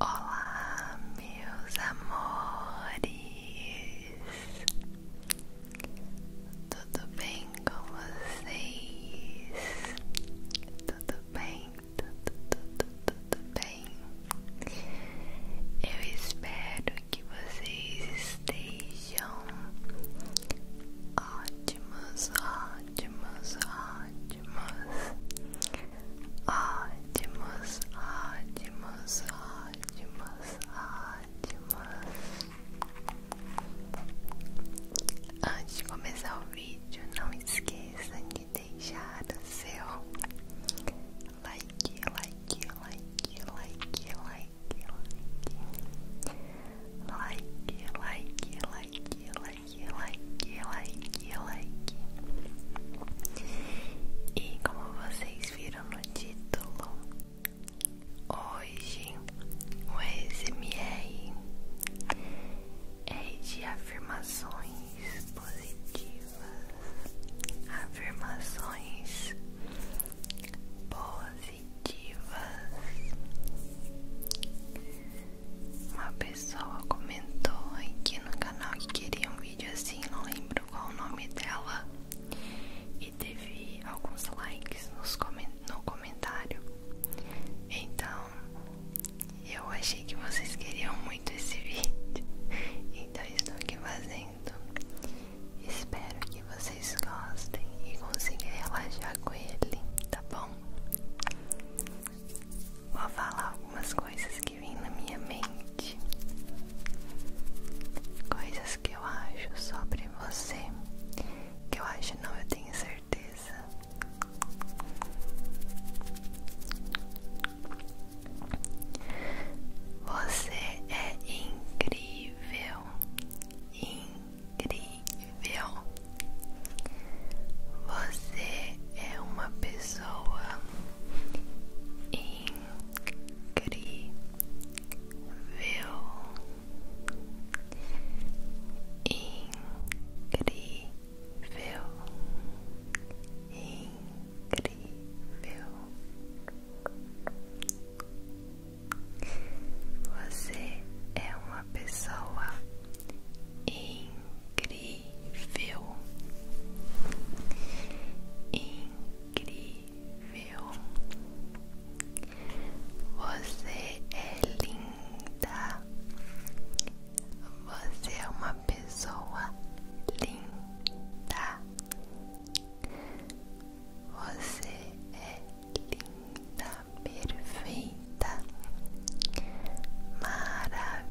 Olá, meus amores, tudo bem com vocês? Tudo bem, tudo, tudo, tudo bem. Eu espero que vocês estejam ótimos, ótimos, ótimos, ótimos, ótimos, ótimos, ótimos. Antes de começar o vídeo, não esqueça de deixar o seu like, like, like, like, like. like like, like, like, like, like, like, like. E como vocês viram no título, hoje o ASMR é de afirmações positivas, afirmações positivas. Uma pessoa comentou aqui no canal que queria um vídeo assim, não lembro qual o nome dela, e teve alguns likes nos coment no comentário. Então, eu achei que vocês queriam muito esse vídeo, então estou aqui fazendo. Espero que vocês vocês gostem e consigam relaxar com ele, tá bom? Vou falar algumas coisas que vêm na minha mente, coisas que eu acho sobre você, que eu acho não, eu tenho certeza. Você é incrível incrível. Você é uma pessoa incrível. Incrível. Incrível. Você é uma pessoa incrível, incrível. Você é linda. Você é uma pessoa linda. Você é linda, perfeita, maravilhosa.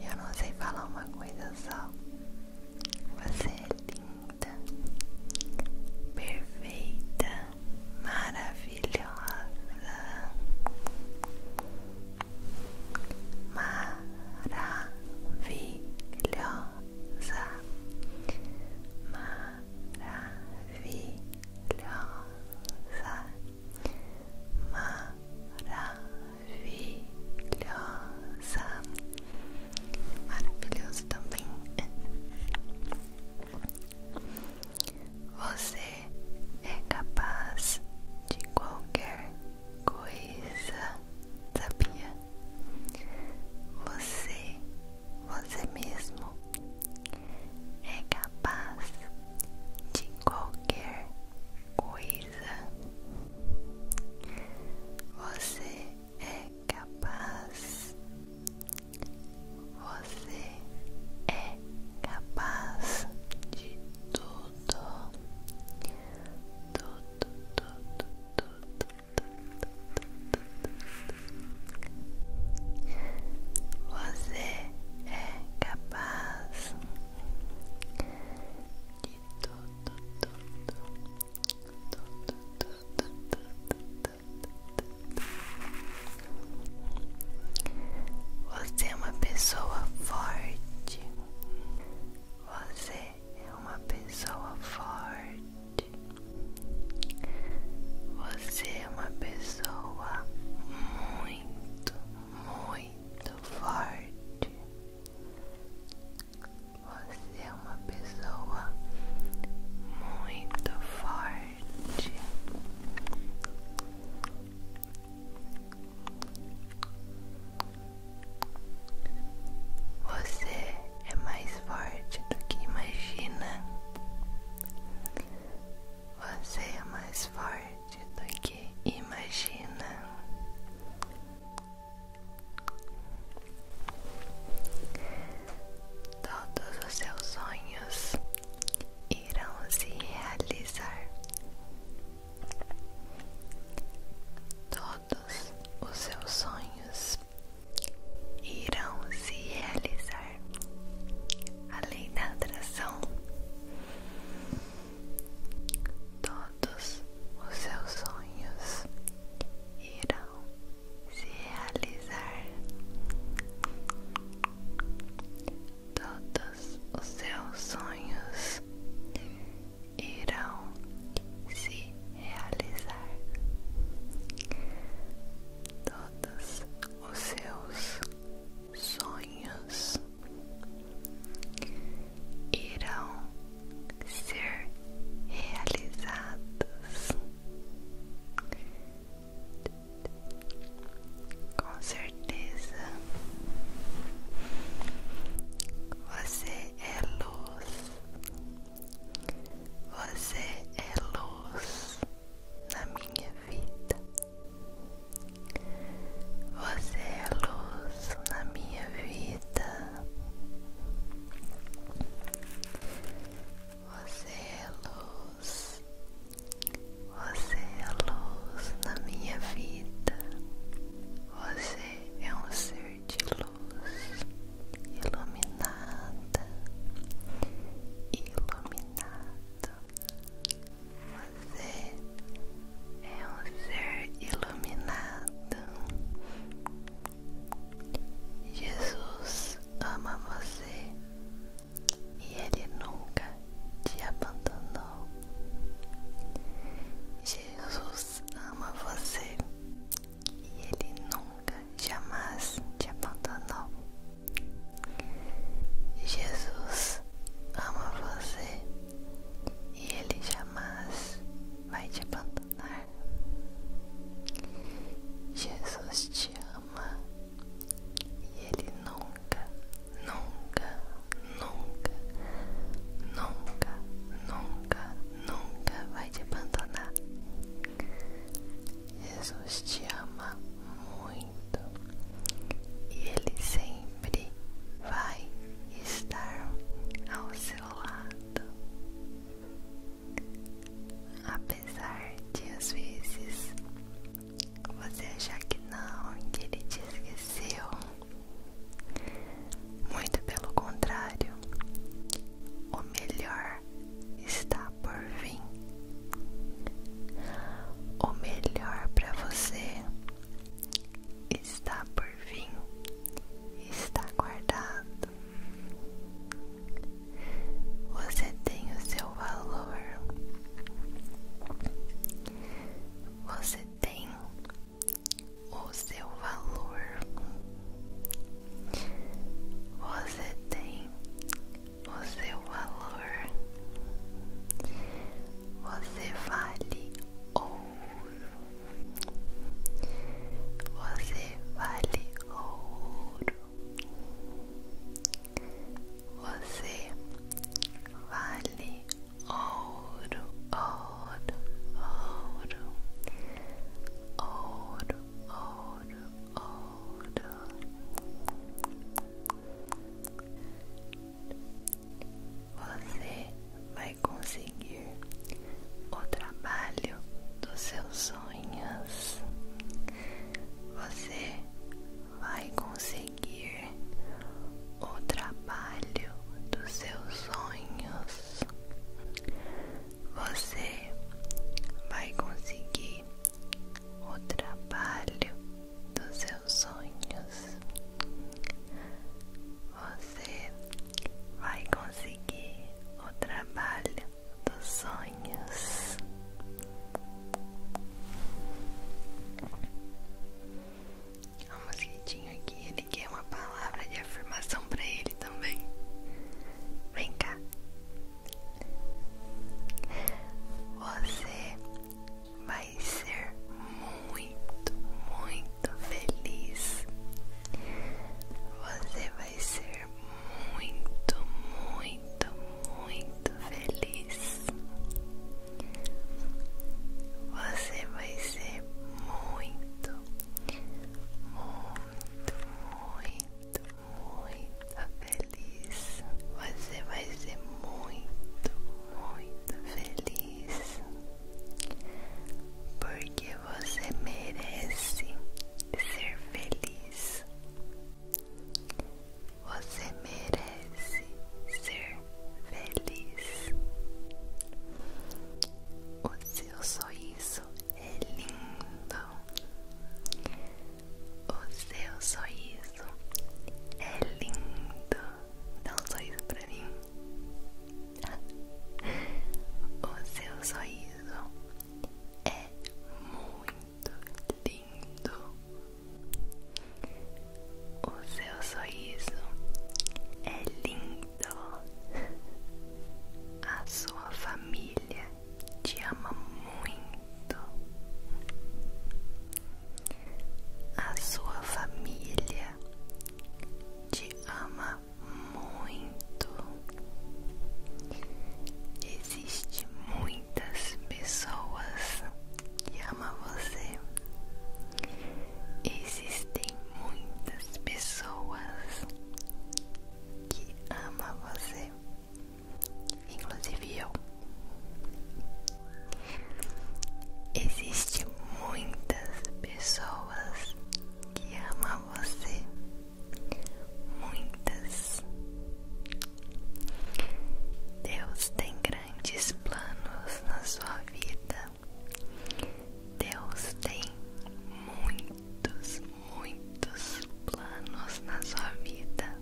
Eu não sei falar uma coisa só. Você é linda, perfeita, maravilhosa, maravilhosa maravilhosa, maravilhosa, maravilhoso também. Você é capaz de qualquer coisa, sabia? Você, você mesmo, é capaz de qualquer coisa. Você é capaz. Você é capaz de tudo tudo, Você é capaz de tudo. Você é uma pessoa forte. Você é uma pessoa forte. Você é uma pessoa muito, muito forte. Você é uma pessoa muito forte. Você é mais forte do que imagina. Você é mais forte do que imagina. Todos os seus sonhos irão se realizar todos os seus sonhos irão se realizar. A lei da atração. Todos os seus sonhos irão se realizar. Todos os seus sonhos irão se realizar. Todos os seus sonhos irão ser realizados. Com certeza, você é luz. Você é luz na minha vida. Você é luz na minha vida. Você é luz. Você é luz na minha vida. Você é um ser de luz iluminada, iluminado. Você é um ser iluminado. Jesus ama você e ele nunca te abandonou. Jesus ama você e Ele nunca, jamais te abandonou. Jesus ama você e Ele jamais vai te abandonar. Jesus te ama e Ele nunca nunca, nunca, nunca, nunca, nunca, nunca vai te abandonar. Jesus te ama muito e Ele sempre vai estar ao seu lado, apesar de às vezes você achar que não, que Ele te esqueceu. Muito pelo contrário, o melhor está por vir. O melhor para você está por vir, está guardado. Você tem o seu valor. Você tem o seu valor, você tem o seu valor, você vale ouro, você vale ouro, você vale ouro, ouro, ouro, ouro, ouro, ouro. Você vai conseguir o trabalho dos seus sonhos. Você vai conseguir o trabalho dos seus sonhos, você vai conseguir o trabalho dos seus sonhos, você vai conseguir o trabalho dos sonhos. O mosquitinho aqui, ele quer uma palavra de afirmação pra ele também. Vem cá. Você vai ser muito, muito feliz. Você vai ser muito, muito, muito feliz. Você vai ser muito, muito, muito, muito feliz. Você vai ser muito, muito feliz. Porque você merece ser feliz. Você merece ser feliz. O seu sorriso é lindo. O seu sorriso é lindo. Dá um sorriso para mim. O seu sorriso é muito lindo. O seu sorriso é lindo. A sua família te ama muito. A sua família te ama muito. Existem muitas pessoas que ama você. Existem muitas pessoas que amam você, inclusive eu. Existem muitas pessoas que amam você, muitas Deus tem grandes planos na sua vida. Deus tem muitos, muitos planos na sua vida.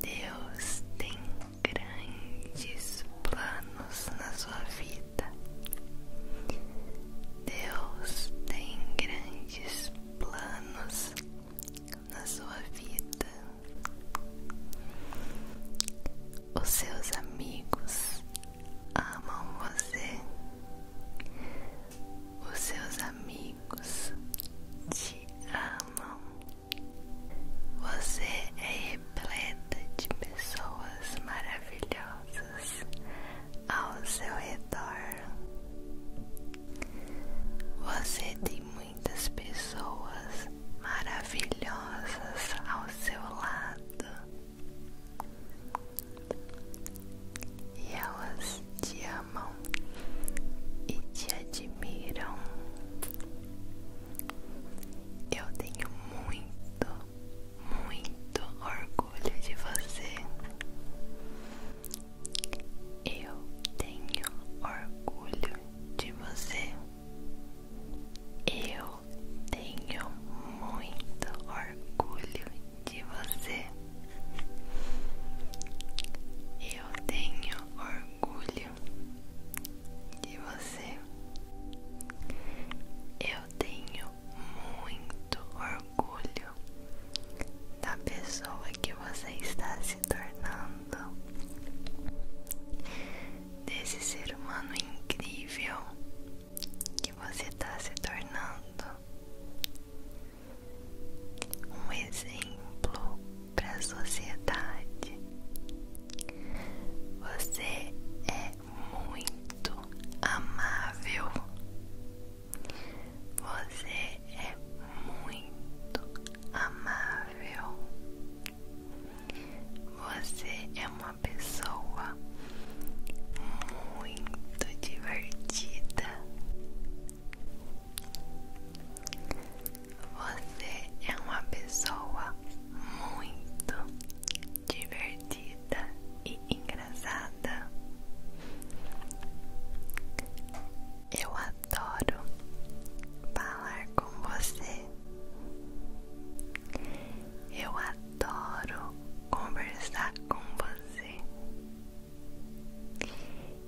Deus tem grandes planos na sua vida. Deus tem grandes planos na sua vida, os seus amigos amam você, os seus amigos te amam, você é repleta de pessoas maravilhosas ao seu redor. Você tem muitas pessoas maravilhosas ao seu lado e elas te amam e te admiram. Eu tenho muito, muito orgulho de você. Eu tenho orgulho de você. Eu tenho muito orgulho de você. Eu tenho orgulho de você. Eu tenho muito orgulho da pessoa que você está se tornando, desse ser humano incrível que você está se tornando, um exemplo para a sociedade. Você é muito amável. Você é muito amável. Você é uma pessoa muito divertida. Você é uma pessoa muito divertida e engraçada. Eu adoro falar com você. Eu adoro conversar com você.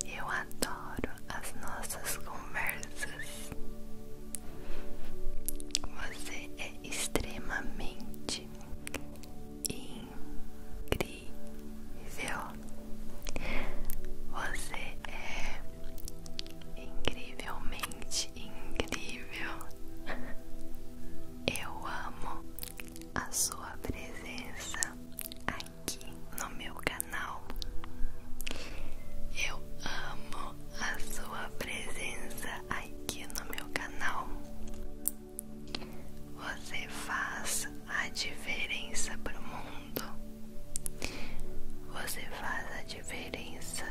Eu adoro as nossas conversas. Você é extremamente incrível. Você é incrivelmente incrível. Eu amo a sua presença aqui no meu canal. Eu amo a sua presença aqui no meu canal. Você faz a diferença para o mundo. Você faz a diferença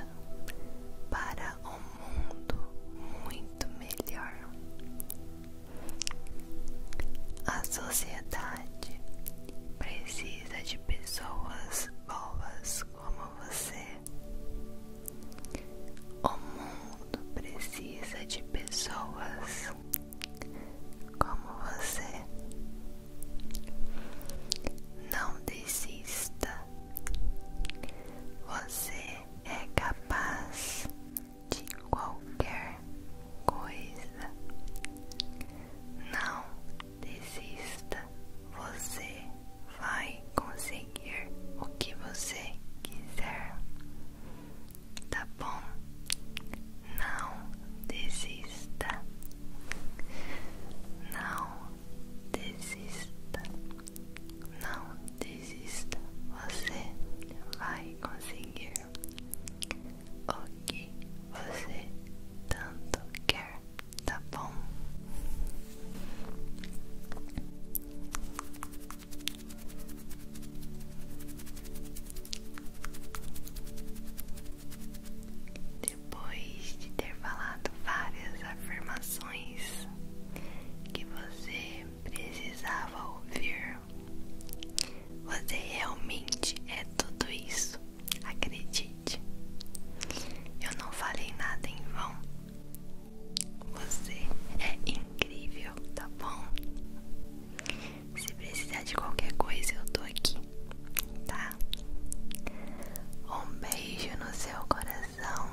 para um mundo muito melhor. A sociedade precisa de pessoas boas como você. O mundo precisa de pessoas como você. Não desista. Você é capaz de qualquer coisa. Não desista. Você vai conseguir o que você quiser tá bom? Não desista, não desista, não desista. Você vai conseguir o que você tanto quer, tá bom? Depois de ter falado várias afirmações que você precisava ouvir, você realmente é tudo isso. Acredite, eu não falei nada em vão. Você é incrível, tá bom? Se precisar de qualquer coisa, eu tô aqui, tá? Um beijo no seu coração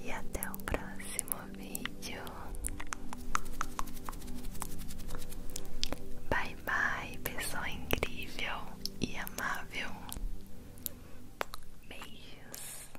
e até o próximo vídeo. Bye bye, pessoa incrível e amável. Beijos.